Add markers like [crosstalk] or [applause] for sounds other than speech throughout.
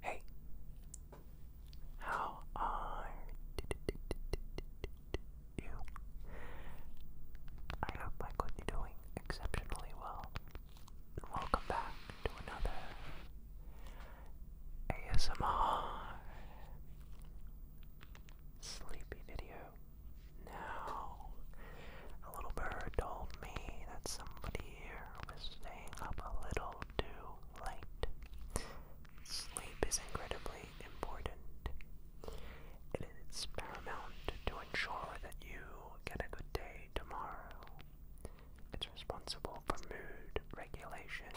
Hey, how are you? I hope I could be doing exceptionally well welcome back to another ASMR sleepy video. Now, a little bird told me that somebody here was staying up a little too late. Sleep is incredibly important. It is paramount to ensure that you get a good day tomorrow. It's responsible for mood regulation,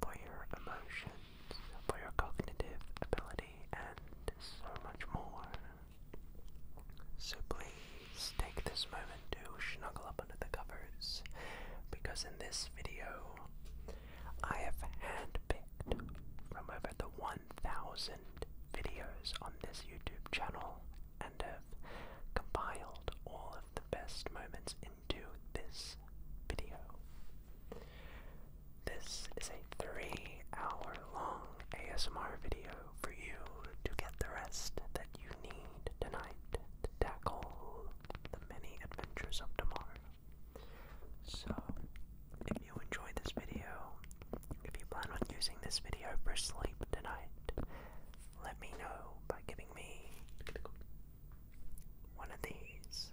for your emotions, for your cognitive ability, and so much more. So please take this moment to snuggle up under the covers, because in this video, I have handpicked from over the 1,000 videos on this YouTube channel and have compiled all of the best moments into this video. This is a three hour long ASMR video for you to get the rest that you need tonight to tackle the many adventures of tomorrow. So, if you enjoyed this video, if you plan on using this video for sleep tonight, let me know by giving me one of these.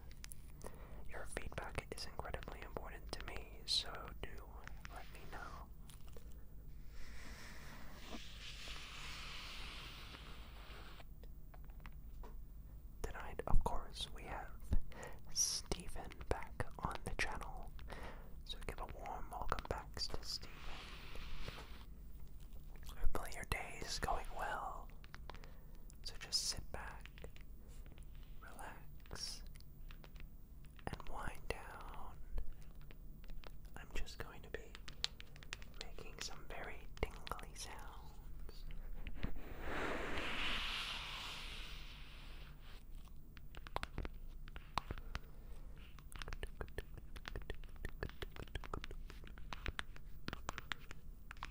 Your feedback is incredibly important to me, so do let me know. Tonight, of course, we have Stephen back on the channel. So give a warm welcome back to Stephen. Hopefully your day is going well. So just sit back, relax, and wind down. I'm just going to be making some very tingly sounds.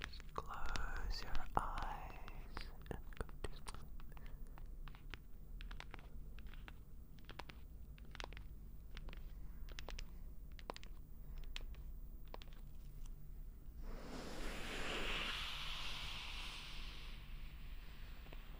Just close your eyes and go to sleep. Good.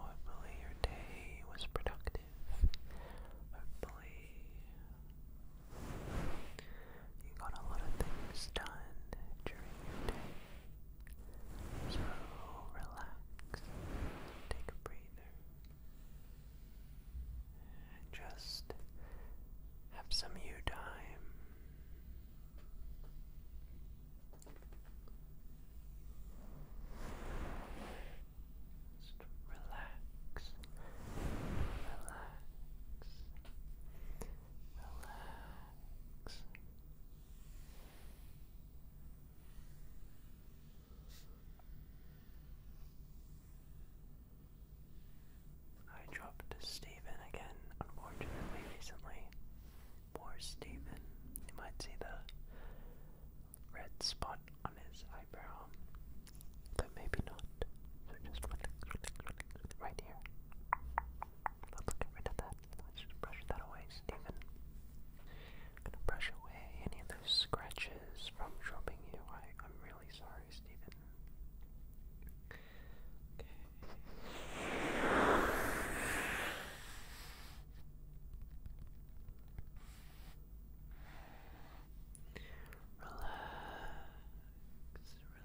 Hopefully your day was productive. Hopefully you got a lot of things done during your day. So relax, take a breather. Just have some you time. Just relax, relax, relax. I dropped Steven again, unfortunately, recently. Poor Steven. You might see the red spot on his eyebrow, but maybe not. So just Right here. Let's get that. Let's just brush that away, Steven gonna brush away any of those scratches from dropping you. I, am really sorry, Stephen. Relax, relax.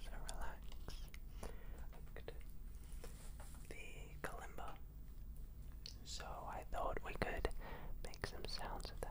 So relax. Good. The kalimba. So I thought we could make some sounds of that.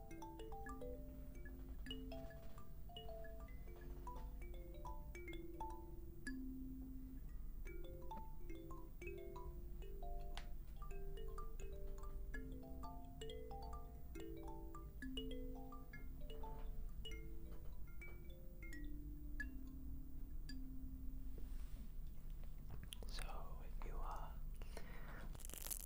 So if you are uh,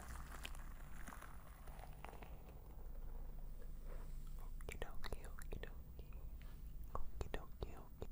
Okie dokie, okie dokie. Okie dokie, okie.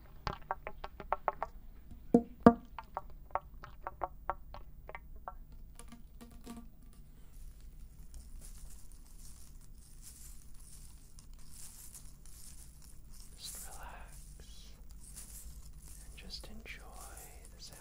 Just relax and just enjoy the sound.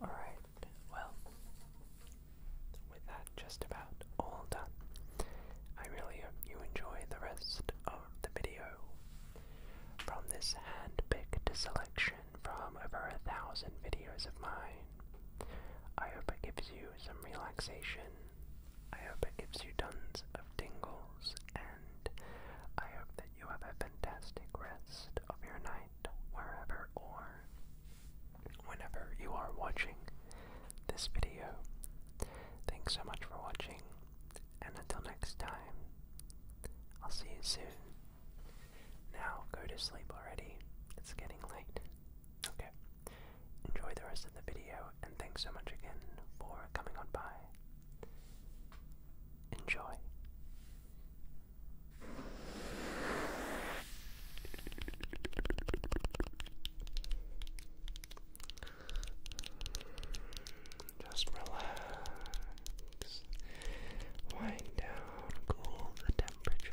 Alright, well, with that just about all done. I really hope you enjoy the rest of the video. From this hand-picked selection from over a thousand videos of mine, I hope it gives you some relaxation. I hope it gives you tons of tingles, and I hope that you have a fantastic rest of your night, wherever or whenever you are watching this video. Thanks so much for watching, and until next time, I'll see you soon. Now go to sleep already, it's getting late. Okay, enjoy the rest of the video, and thanks so much again for coming on by. Enjoy. Just relax, wind down, cool the temperatures.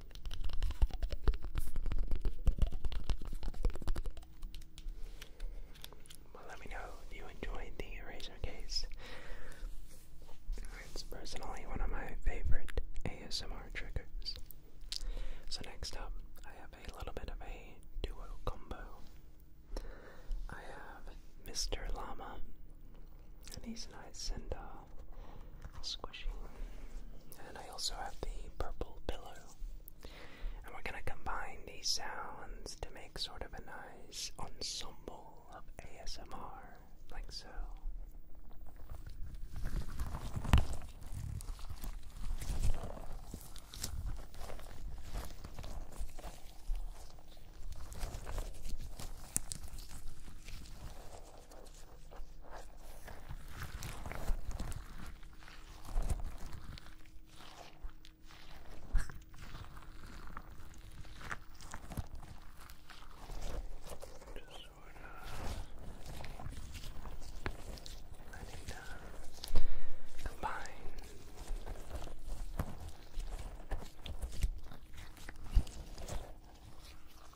Well, let me know if you enjoyed the eraser case. It's personally one of my favorite ASMR triggers. So, next up, I have a little bit of a duo combo. I have Mr. Llama, and he's nice and uh, squishy. And I also have the purple pillow. And we're gonna combine these sounds to make sort of a nice ensemble of ASMR, like so. Just sort of letting them combine. Just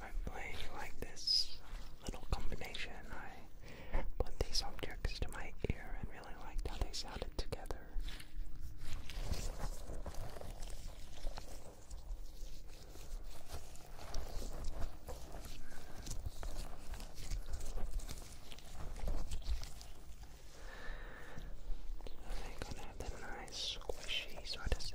Hopefully, you like this little combination. I put these objects to my ear and really liked how they sounded together. I think gonna have that nice squishy sort of sound.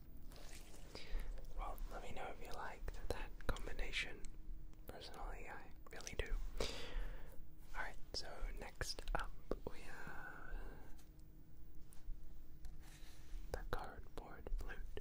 Well, let me know if you like that combination. Personally, I really do. Alright, so next up we have the cardboard flute.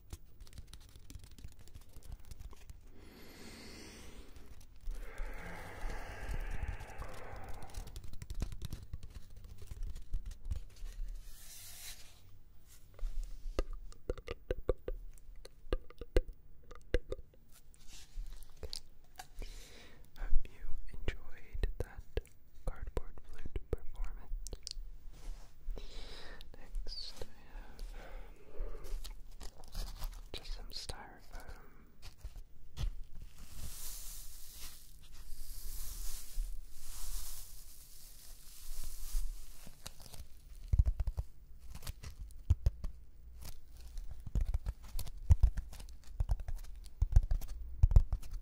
Hope you enjoyed that cardboard flute performance. Next, I have just some styrofoam.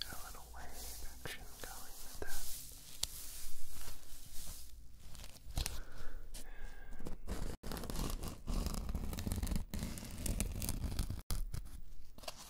Got a little wave action going with that. And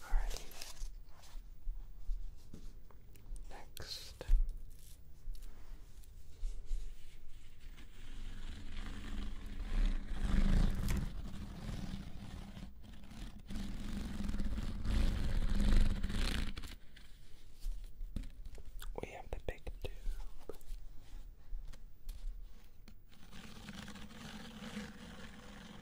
Alrighty. Next. We have the big tube.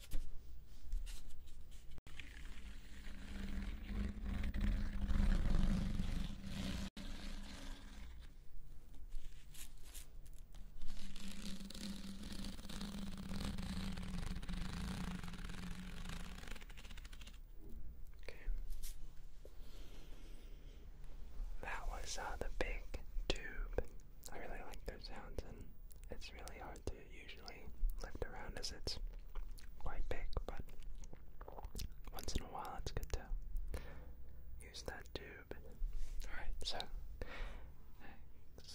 Okay. That was uh, the big tube. I really like their sounds, and it's really hard to usually lift around as it's quite big, but once in a while it's good to use that tube. Alright, so next.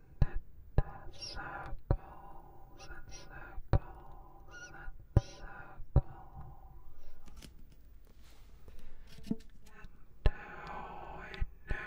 circles and circles and circles. And now I know.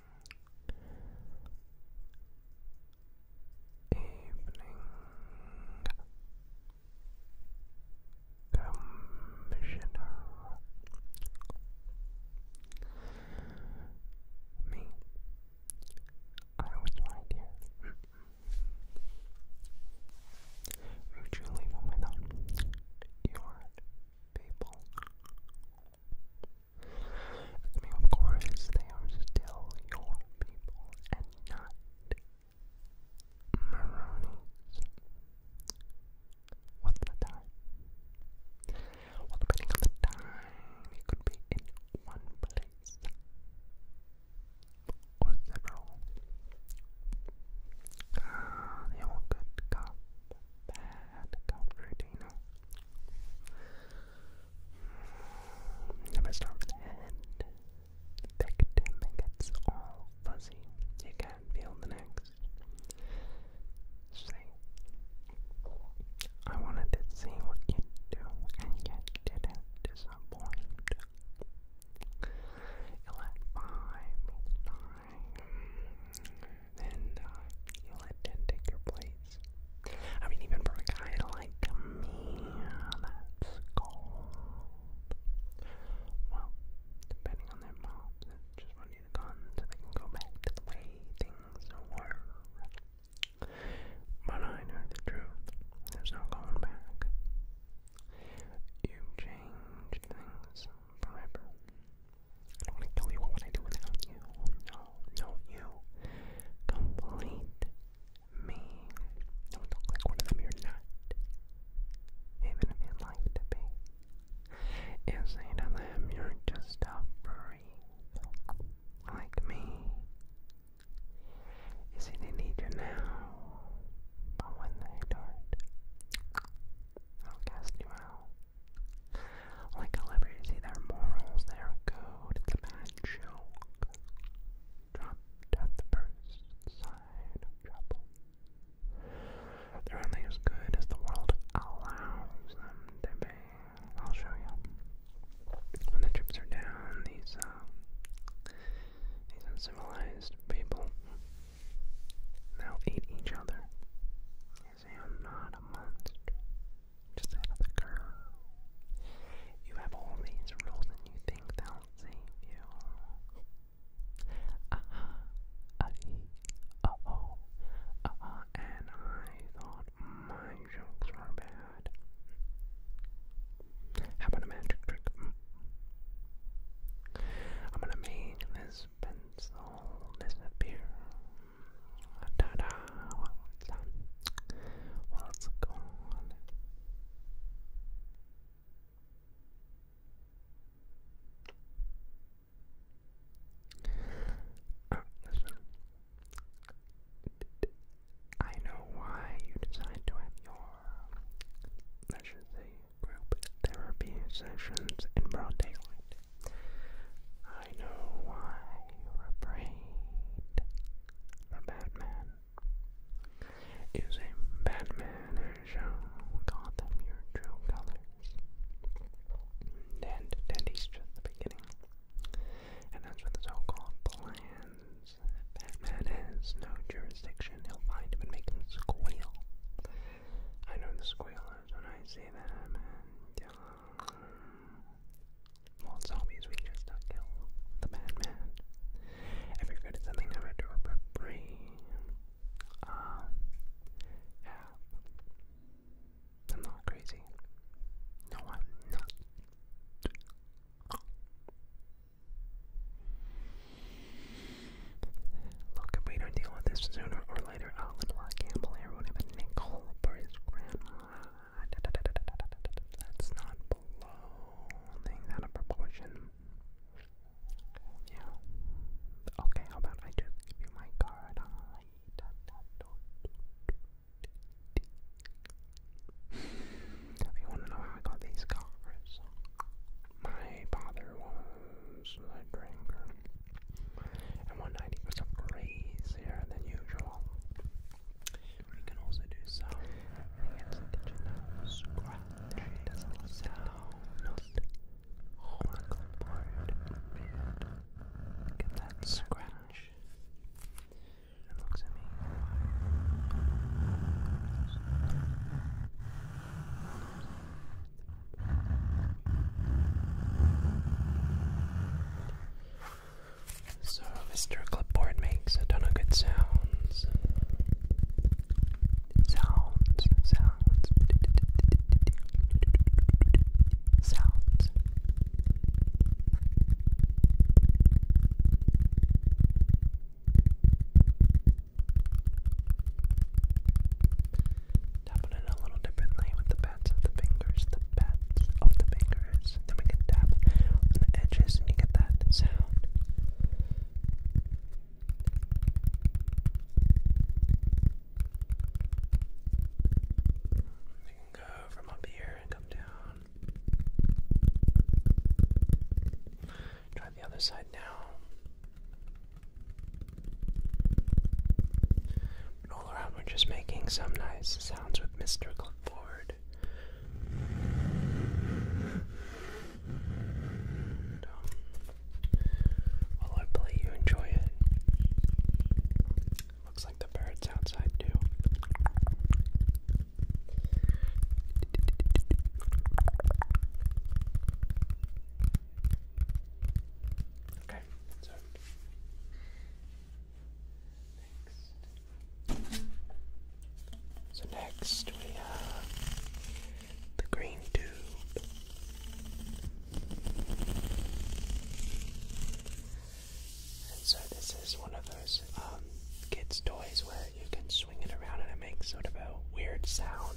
Commissioner. Me. I was right here. Would you leave without your people? I mean, of course, they are still your people and not What's the time? Well, depending on the time, it could be in one place or several. Ah, they all could come bad comforting. If I start with the head, the victim gets all fuzzy. You can't feel the next. Say, I wanted to see what you do, and yet didn't disappoint. You and uh, you let Ted take your place. I mean, even for a guy like me, that's cold. Well, depending on their moms, just when you're gone, they can go back to the way things were. But I know the truth. There's no going back. You've things forever. I don't want to tell you. What would I do without you? No, no, you complete me. Don't look like one of them. you Even if you'd to be. You say to them, you're just a breeze. Like me. You see, they need you now. But when they don't, I'll cast you out. Like a their morals, their code, the bad joke. Dropped at first side trouble. They're only as good as the world allows them to be. I'll show you. When the chips are down, these, uh, these uncivilized people, they'll eat each other. I'm not a monster. Just out of You have all these rules and you think they'll save you. Aha, ahi, uh-huh. uh oh, aha, uh-huh. and I thought my jokes were bad. How about a magic trick? I'm gonna make this pencil disappear. Ta What's, going on? Uh, I know why you decide to have your, let's just say, group therapy sessions in broad daylight. I know why you're afraid. The Batman is a Batman and show Gotham your true colors. And Teddy's just the beginning. And that's what the so-called plans. Batman has no jurisdiction. He'll find him and make him squeal. I know the squealers when I say that, Yeah, uh, well, zombies we just don't kill. The bad If you're good at something, never do it for free. Um, yeah. I'm not crazy. No, I'm not. Look, if we don't deal with this sooner hour later, oh, Alan Law Campbell wrote him a nickel for his grandma. Da, da, da, da, da, da, da, da. That's not blowing out of proportion. Yeah. Okay, how about I just give you my card? I da, da, do, do, do, do. If you want to know how I got these cars, my father was a drinker and 190 was crazier than usual. We can also do some digital scratching. That's a sound. Oracle Get that scratch. It looks at me. So, Mr. Clipboard makes a ton of good sounds. Sounds, sounds, sounds. Tapping it a little differently with the bats of the fingers, the bats of the fingers. Then we can tap on the edges and you get that sound. You can go from up here and come down. Try the other side now all around, we're just making some nice sounds with Mr. Clipboard. hopefully, you enjoy it. Looks like the birds outside do. Okay, so next we have the green tube. so this is one of those um, kids' toys where you can swing it around and it makes sort of a weird sound.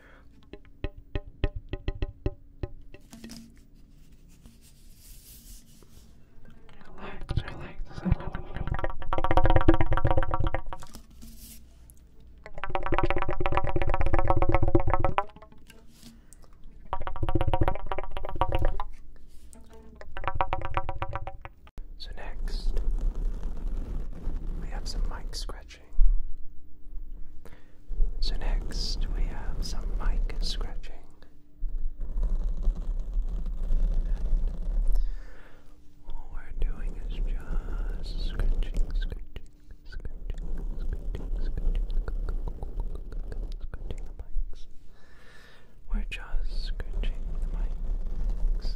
Relax, relax. So next, we have some mic scratching. So, next we have some mic scratching. all we're doing is just scratching, scratching, scratching, scratching, scratching, scratching the mics. We're just scratching the mics.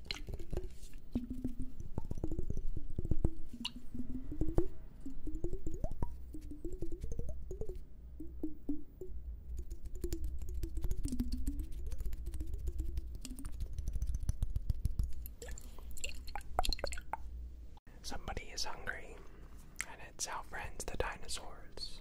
Somebody is hungry, and it's our friends, the dinosaurs.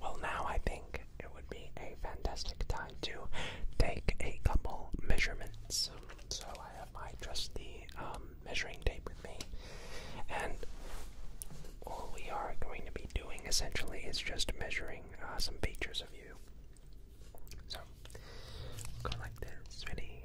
Well, now I think it would be a fantastic time to take a couple measurements. So I have my trusty um, measuring tape with me, and all we are going to be doing essentially is just measuring uh, some features of you. So, go like this, ready?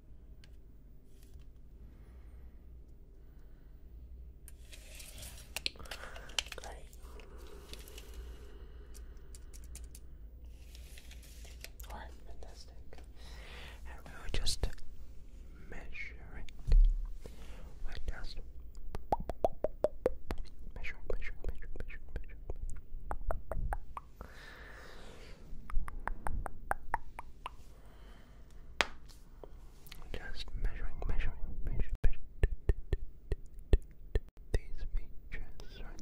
Great. All right, fantastic. And we will just measure we just measuring, measuring, measuring, measuring, Measure. Just measuring, measuring, measuring, measuring these features Just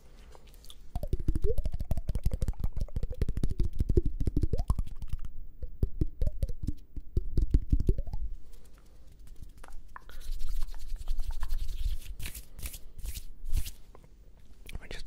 I just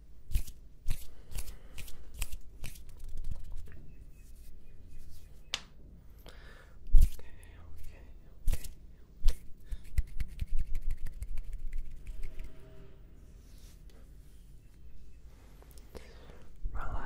okay, okay. Relax. Relax. Relax.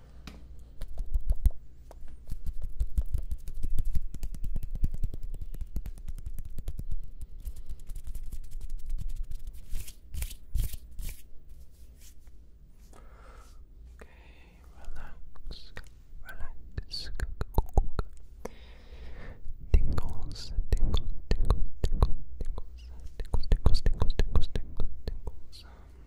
Okay, relax, relax, tingles, tingles, tingles, tingles, tingles, tingles, tingles, tingles, tingles,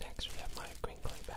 Next, we have my crinkly bag.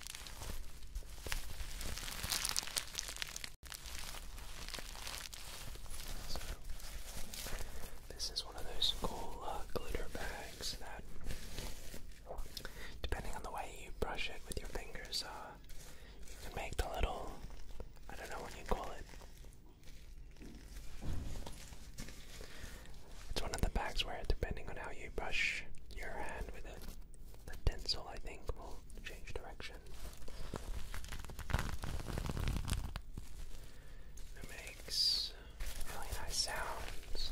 So, this is one of those cool uh, glitter bags that, depending on the way you brush it with your fingers, uh, you can make the little, I don't know what you call it. It's one of the bags where, depending on how you brush your hand with it, the tinsel, I think, will change direction. It makes really nice sounds.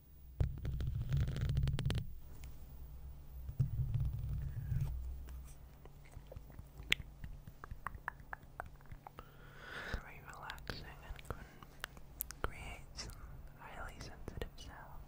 Very relaxing and can highly sensitive sounds.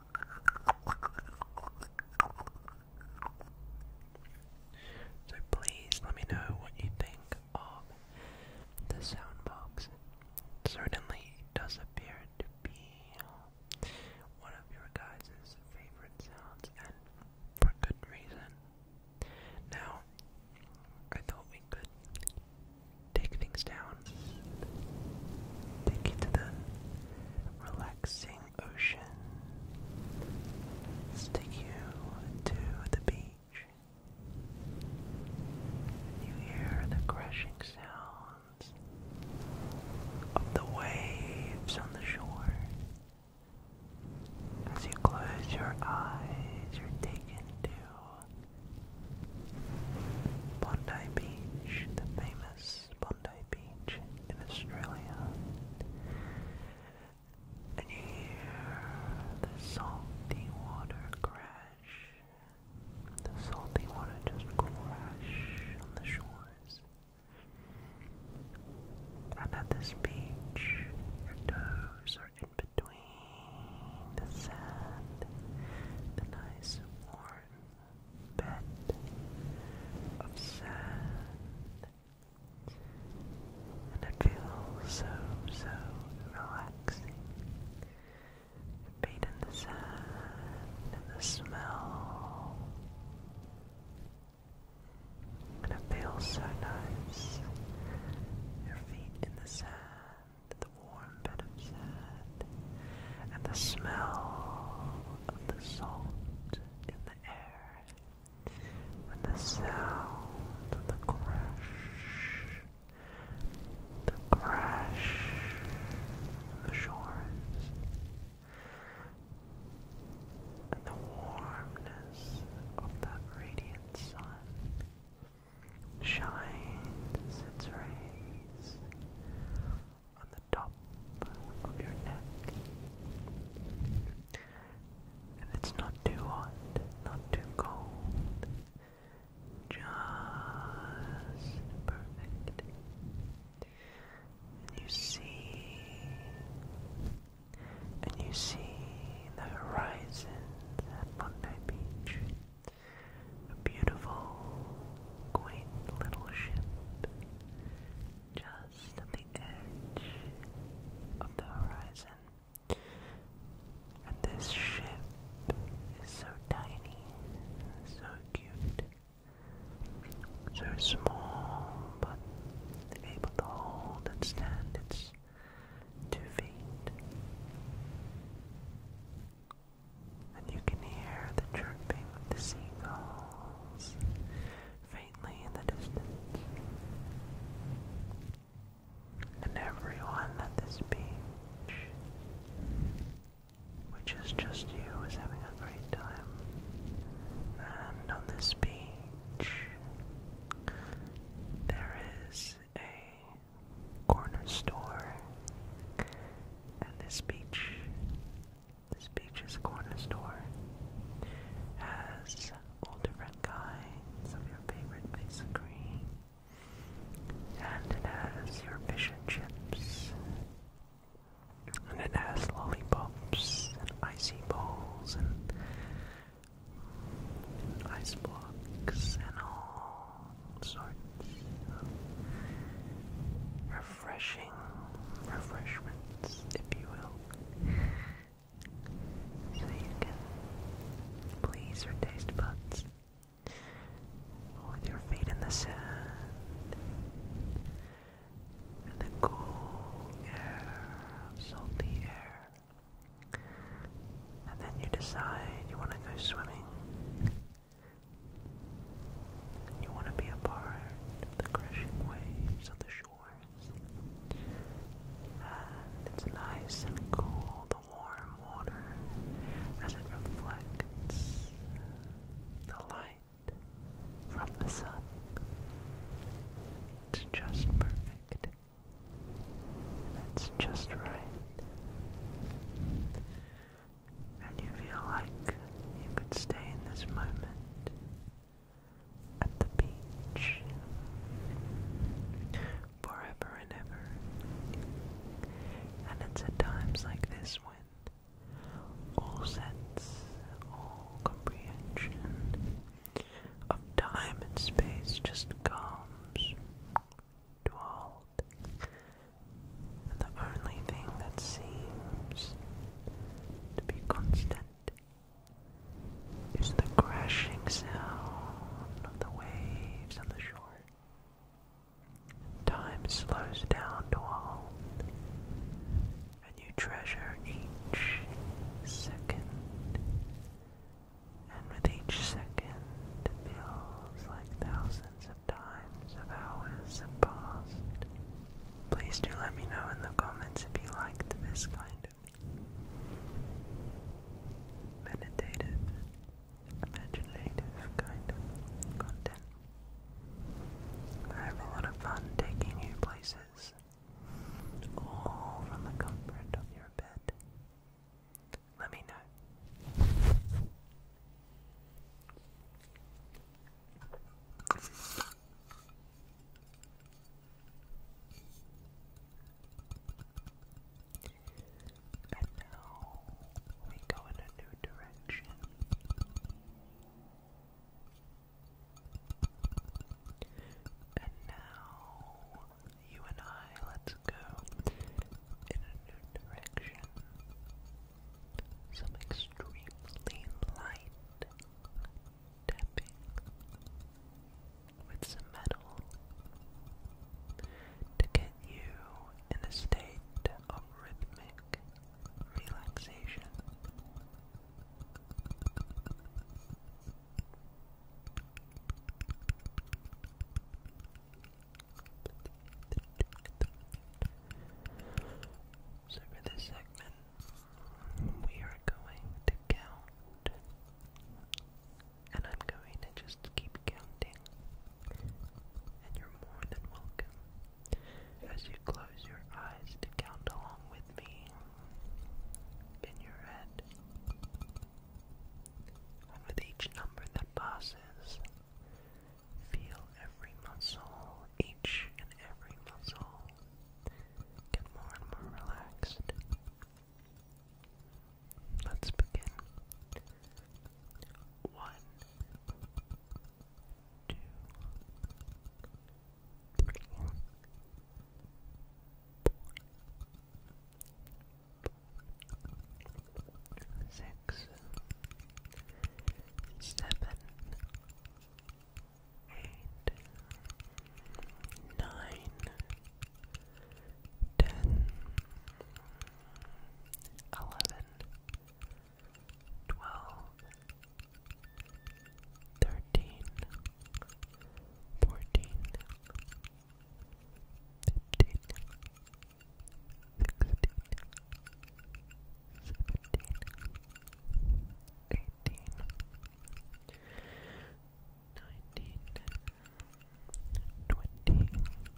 So please let me know what you think of the soundbox. certainly does appear to be one of your guys' favorite sounds and for good reason. Now, I thought we could take things down. Take you to the relaxing ocean. take you to the beach. You hear the crashing sounds of the waves on the shore. As you close your eyes, you're taken to Bondi Beach, the famous Bondi Beach in Australia. And you hear the salty water crash. The salty water just crash on the shores. And at this beach, your toes are in between the sand, the nice warm bed of sand. And it feels so, so relaxing. Beat in the sand and the smell. And it feels so nice. Your feet in the sand, the warm bed of sand and the smell of the salt in the air, and the sound of the crash, the crash of the shores, and the warmness of that radiant sun shines its rays on the top of your neck. And it's not too hot, not too cold. Just perfect. And you see, and you see the horizon at Bondi Beach. A beautiful, quaint little ship just at the edge of the horizon. And this ship is so tiny, so cute, so small, but able to hold and stand its two feet and you can hear the chirping of the seagulls faintly in the distance. And everyone at this beach, which is just you, is having a great time. And on this beach, there is a corner store, and this beach this beach's corner store has all different kinds of your favorite piece of And it has your fish and chips. And it has lollipops and icy balls and ice blocks and all sorts of refreshing refreshments, if you will. So you can please your taste buds with your feet in the sand and the cool air, salty air. And then you decide you want to go swimming. You want to be a part of the crashing waves on the shores. And it's nice and cool, the warm water, as it reflects the light from the sun. It's just perfect. That's just right and you feel like you could stay in this moment at the beach forever and ever. And it's at times like this when all sense, all comprehension of time and space just comes to halt the only thing that seems to be constant is the crashing sound of the waves on the shore. Time slows down to a halt, and you treasure each second. And with each second, feels like thousands of times of hours have passed. Please do let me know in the comments if you liked this kind of meditative, imaginative kind of content. I have a lot of fun taking you places, all from the comfort of your bed. Let me know. And now we go in a new direction. And now you and I, let's go in a new direction some extremely light tapping with some metal to get you in a state of rhythmic relaxation. So for this segment, we are going to count, and I'm going to just keep counting, and you're more than welcome as you close your eyes to count along with me in your head. And with each number that passes, feel every muscle each and every muscle get more and more relaxed. Let's begin. One, two, three, four, six, seven, eight, nine, ten, eleven, twelve, thirteen, fourteen, fifteen, sixteen, seventeen eighteen, nineteen, twenty, twenty-one, twenty-two, twenty-three, twenty-four,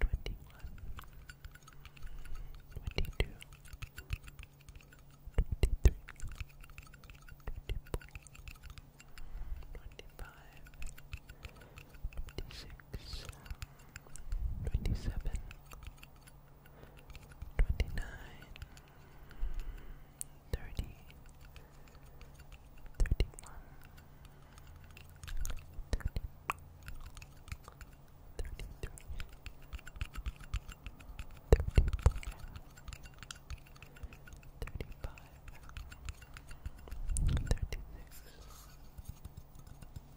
twenty-five, twenty-six, twenty-seven. 28 twenty-nine, thirty, thirty-one, thirty, thirty-three, thirty-four, thirty-five, thirty-six. 36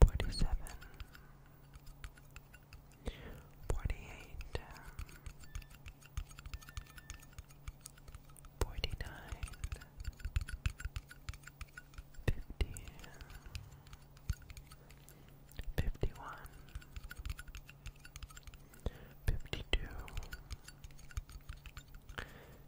Forty-seven, forty-eight, forty-nine, fifty, fifty-one, fifty-two,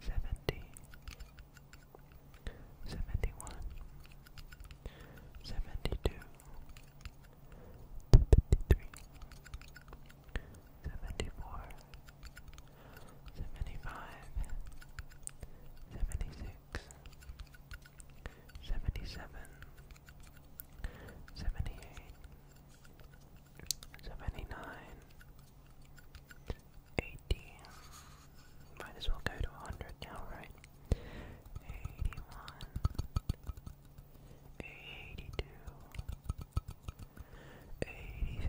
seventy, seventy one, seventy two, seventy three, seventy four, seventy five, seventy six, seventy seven, seventy eight seventy nine, eighty. Might as well go to hundred now, right? Eighty one, eighty two, eighty three.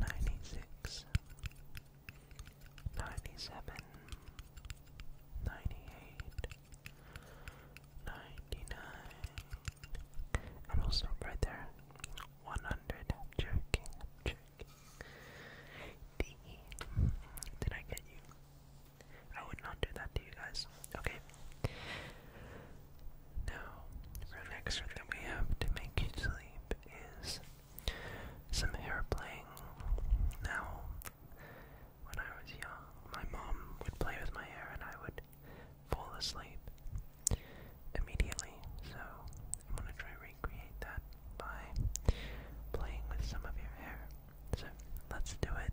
96 97 98 99 and we'll stop right there 100 jerking jerking D did I get you I would not do that to you guys okay now, the next trick we have to make you sleep is some hair playing. Now, when I was young, my mom would play with my hair and I would fall asleep immediately. So, I'm going to try recreate that by playing with some of your hair. So, let's do it.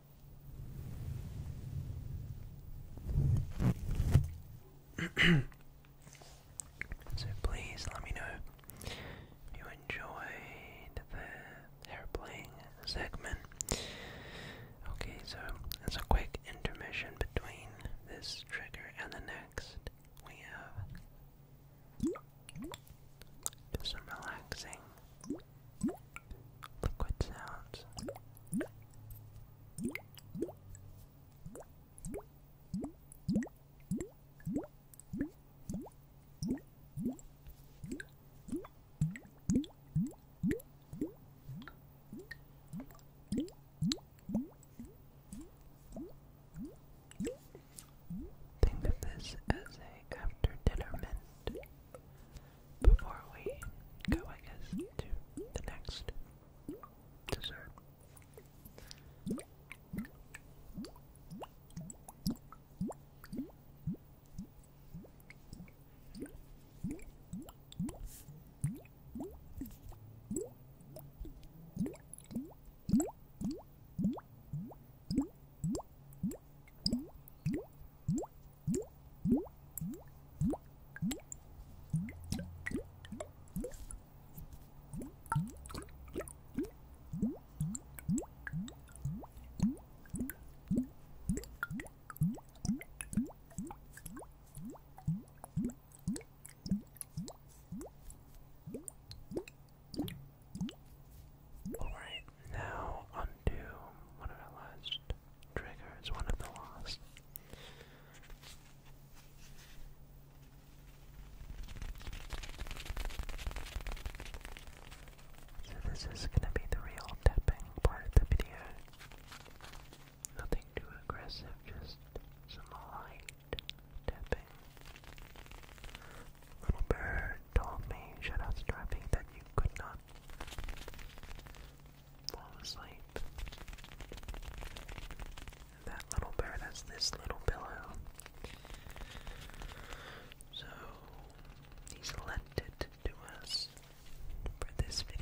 [clears throat] so please let me know you enjoyed the hair segment. Okay, so as a quick intermission between this trigger and the next, we have just some relaxing liquid sounds. Think of this as a after dinner mint before we go, I to the next dessert. All right, now I'm do one of our last triggers, one of the lost. So this is gonna be the real tapping part of the video. Nothing too aggressive, just some light tapping. Little bird told me, shout out to that you could not fall asleep. that little bird has this little pillow. So he's lent it to us for this video.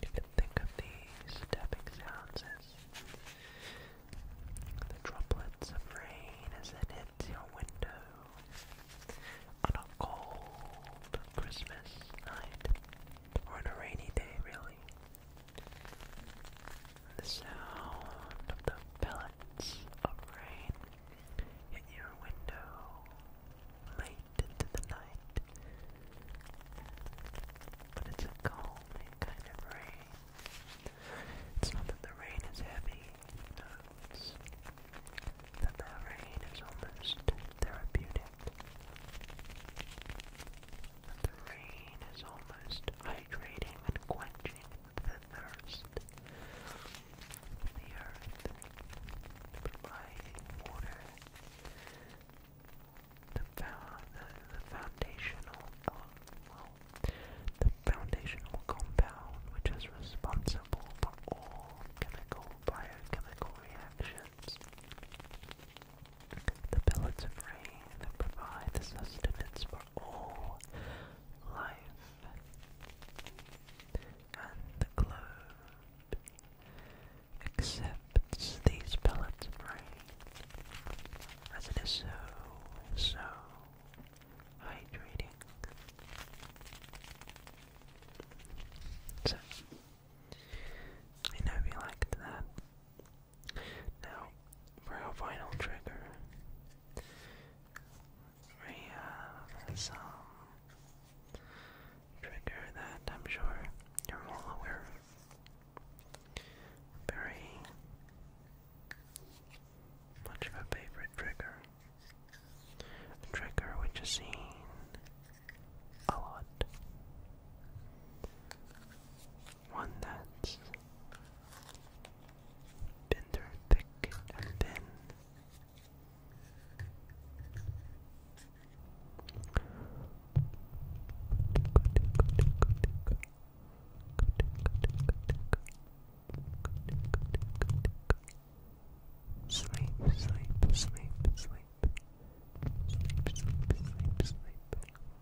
You can think of these tapping sounds as the droplets of rain as it hits your window on a cold Christmas night, or on a rainy day, really. The sound of the pellets of rain hit your window late into the night. But it's a calming kind of rain. It's not that the rain is heavy, no, that the rain is almost therapeutic. The rain is almost hydrating and quenching the thirst. The earth providing water. The, the, the foundational the foundational compound which is responsible for all chemical biochemical reactions. The pellets of rain that provide the sustenance for all life. And the globe accepts these pellets of rain as it is so, so hydrating. So, I know if liked that. Now, for our final trigger, we have some trigger that I'm sure you're all aware of. Very much of a favorite trigger. trigger which is seen a lot one that's thick and thin. Sleep, sleep, sleep, sleep. Sleep, sleep, sleep, sleep.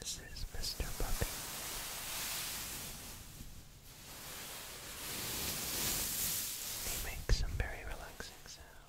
This is Mr. Puppy. They make some very relaxing sounds.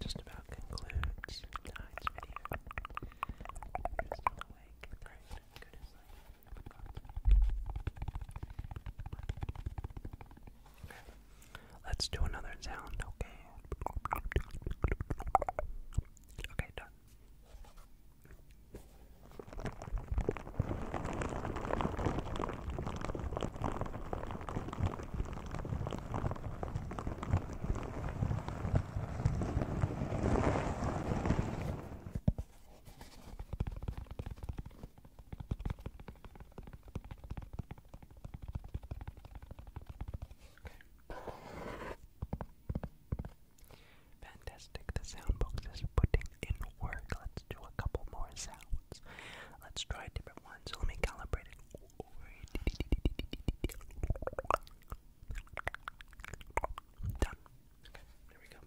just about concludes tonight's video. You're still awake. Great. Good as I Okay. Let's do another sound, okay? Okay, done. Fantastic, the sound box is putting in work. Let's do a couple more sounds. Let's try a different one. So let me calibrate it. Done. Okay, there we go.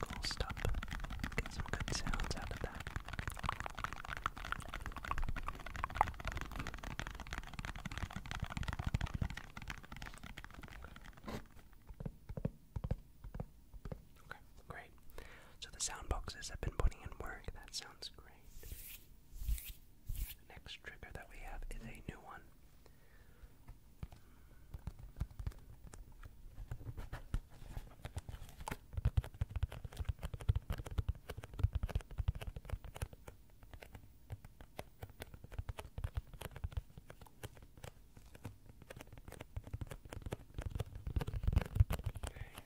cool stuff. Get some good sounds out of that. Okay, great. So the sound boxes have been putting in work. That sounds great. The next trigger that we have is a new one.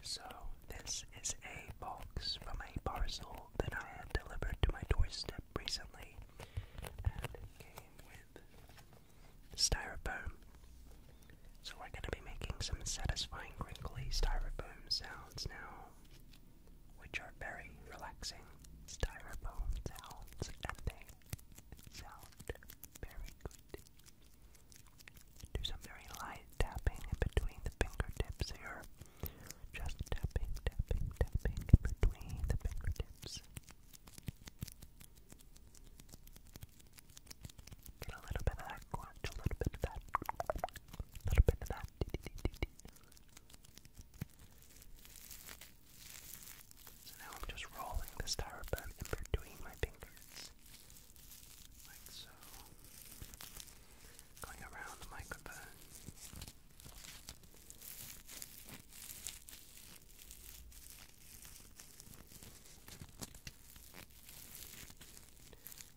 So, this is a box from a parcel that I had delivered to my doorstep recently, and it came with styrofoam so we're going to be making some satisfying crinkly styrofoam sounds now, which are very relaxing styrofoam sounds, and they sound very good. Do some very light tapping between the fingertips here. Just tapping, tapping, tapping between the fingertips. Get a little bit of that crunch, a little bit of that, a little bit of that. So now I'm just rolling this styrofoam in between my fingers, like so. Going around the microphone.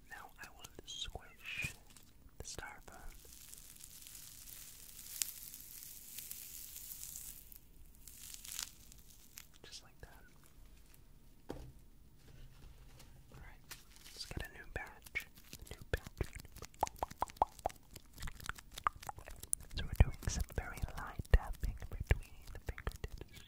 Now I will squish the styrofoam. Just like that. Alright, let's get a new batch. new batch. So we're doing some very light tapping between the fingertips.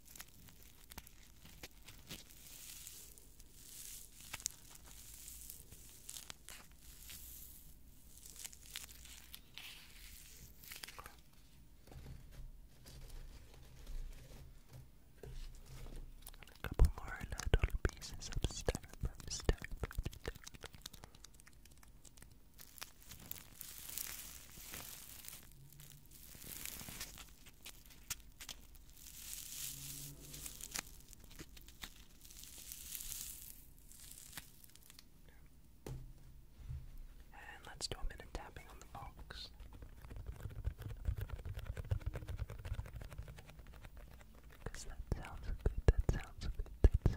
And a couple more little pieces of styrofoam, styrofoam, styrofoam. And let's do a bit tapping on the box. Because that sounds good, that sounds good, that sounds good.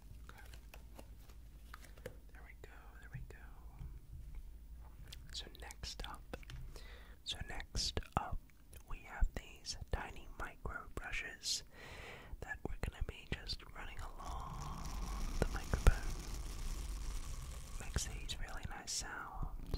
There we go, there we go. So next up, so next up, we have these tiny micro brushes that we're gonna be just running along the microphone. Makes these really nice sounds.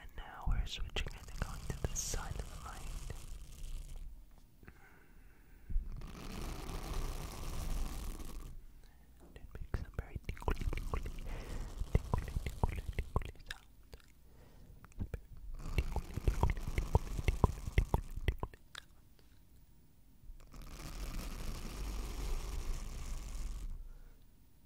And now we're switching and going to this side of the light. And it makes a very tickly, tickly, tickly, tickly, tickly sound.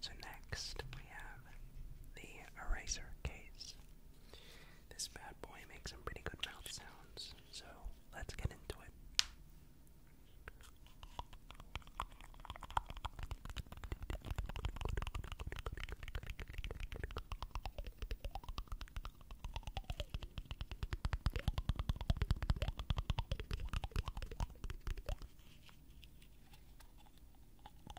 So next we have the eraser case. This bad boy makes some pretty good mouth sounds, so let's get into it.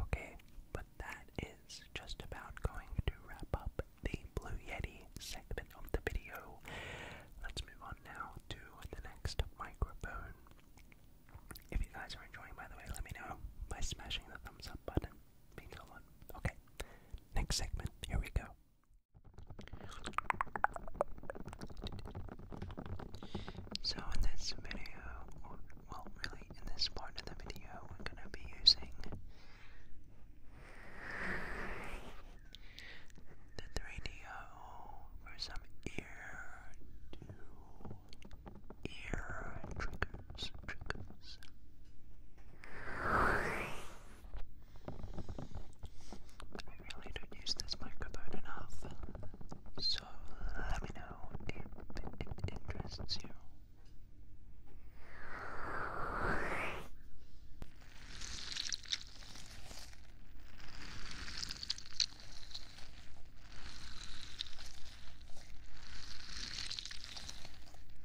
Okay, but that is just about going to wrap up the Blue Yeti segment of the video. Let's move on now to the next microphone. If you guys are enjoying, by the way, let me know by smashing the thumbs up button. Being so Okay, Next segment. Here we go. So in this video, well, really in this part of the video, we're gonna be using the 3DO for some ear to ear triggers, triggers. I really don't use this microphone enough, so let me know if it interests you.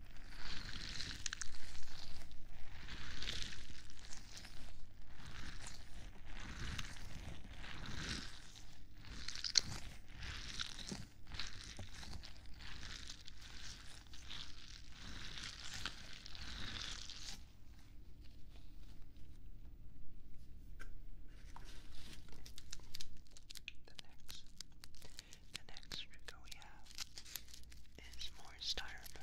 The next the next trigger we have is more styrofoam.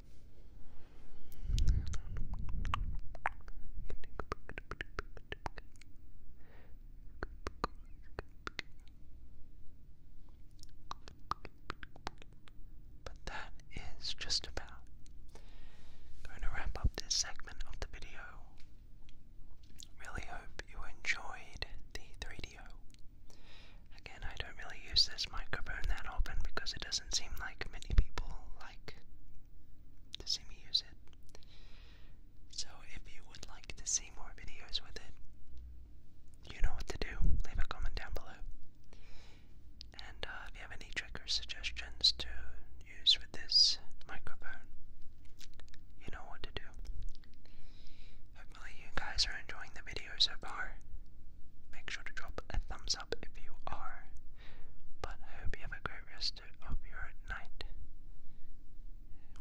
But that is just about going to wrap up this segment of the video. Really hope you enjoyed the 3DO. Again, I don't really use this microphone that often because it doesn't seem like many people like to see me use it. So, if you would like to see more videos with it, you know what to do. Leave a comment down below. And uh, if you have any trick or suggestions to use with this microphone, you know what to do. Hopefully, you guys are enjoying the video so far. Make sure to drop a thumbs up if you are. But I hope you have a great rest of your night.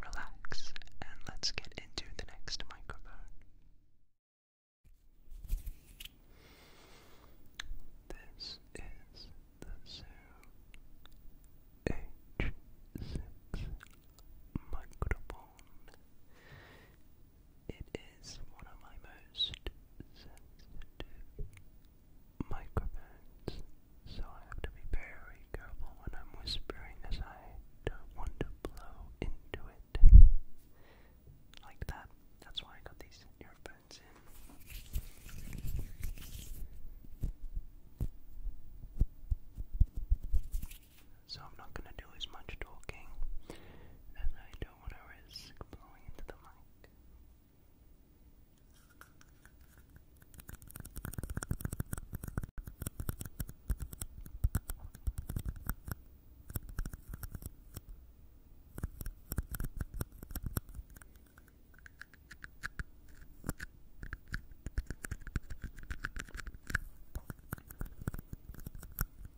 Relax, and let's get into the next microphone. This is the Zoom H6 microphone. It is one of my most sensitive microphones, so I have to be very careful when I'm whispering as I don't want to blow into it. Like that. That's why I got these earphones in. So I'm not going to do as much talking as I do don't blowing into the mic.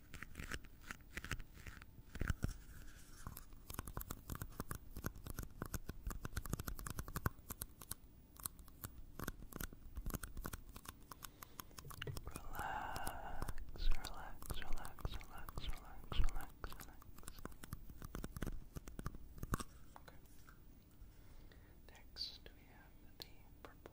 Relax, relax, relax, relax, relax, relax, relax. Okay. Next, we have the purple.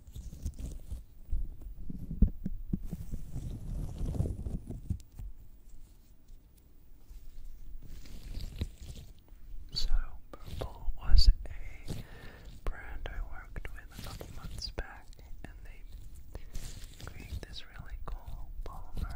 So, Purple was a brand I worked with a couple months back, and they create this really cool polymer.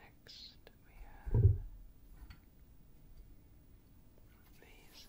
Next, we have these.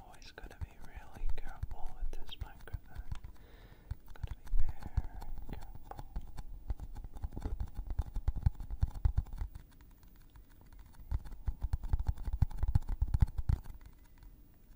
Always gotta be really careful with this microphone. Gotta be very careful.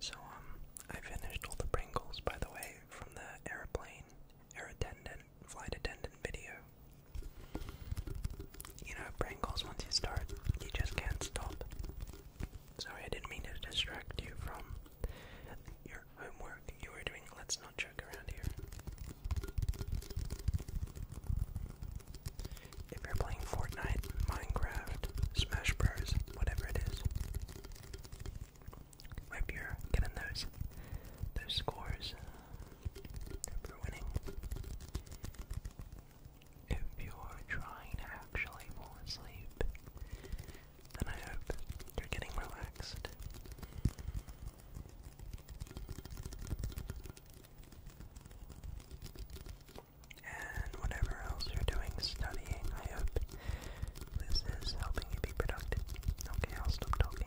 So, um, I finished all the Pringles, by the way, from the airplane, air attendant, flight attendant video. You know, brain Pringles, once you start, you just can't stop. Sorry, I didn't mean to distract you from your homework you were doing. Let's not joke around here. If you're playing Fortnite, Minecraft, Smash Bros, whatever it is, hope you're getting those those scores for winning. If you're trying to actually fall asleep, then I hope you're getting relaxed. And whatever else you're doing studying, I hope this is helping you be productive. Okay, I'll stop talking.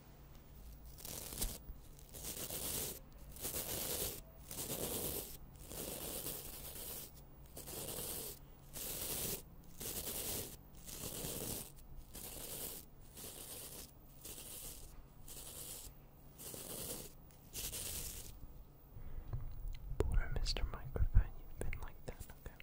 Poor Mr. Microphone, you've been like that, okay?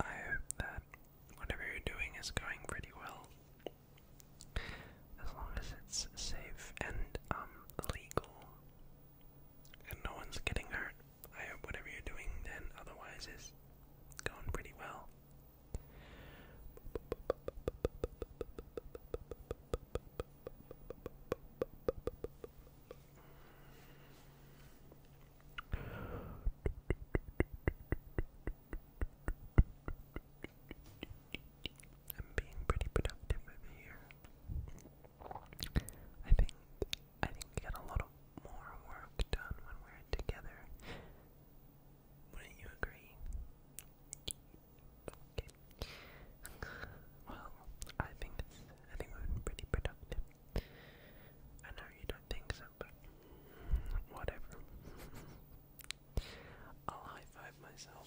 I hope that whatever you're doing is going pretty well. As long as it's safe and um, legal and no one's getting hurt. I hope whatever you're doing then otherwise is going pretty well. I'm being pretty productive over here. I think I think we got a lot more work done when we're together. Wouldn't you agree? Okay. Well, I think I think we've pretty productive. I know you don't think so, but whatever. [laughs] I'll high five myself.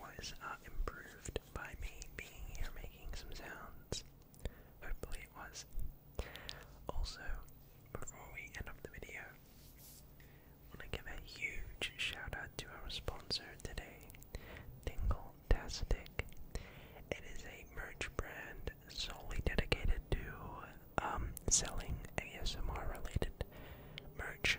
was uh, improved by me being here making some sounds. Hopefully it was. Also, before we end up the video, I want to give a huge shout out to our sponsor today, Tingle Tastic. It is a merch brand solely dedicated to um, selling ASMR related merch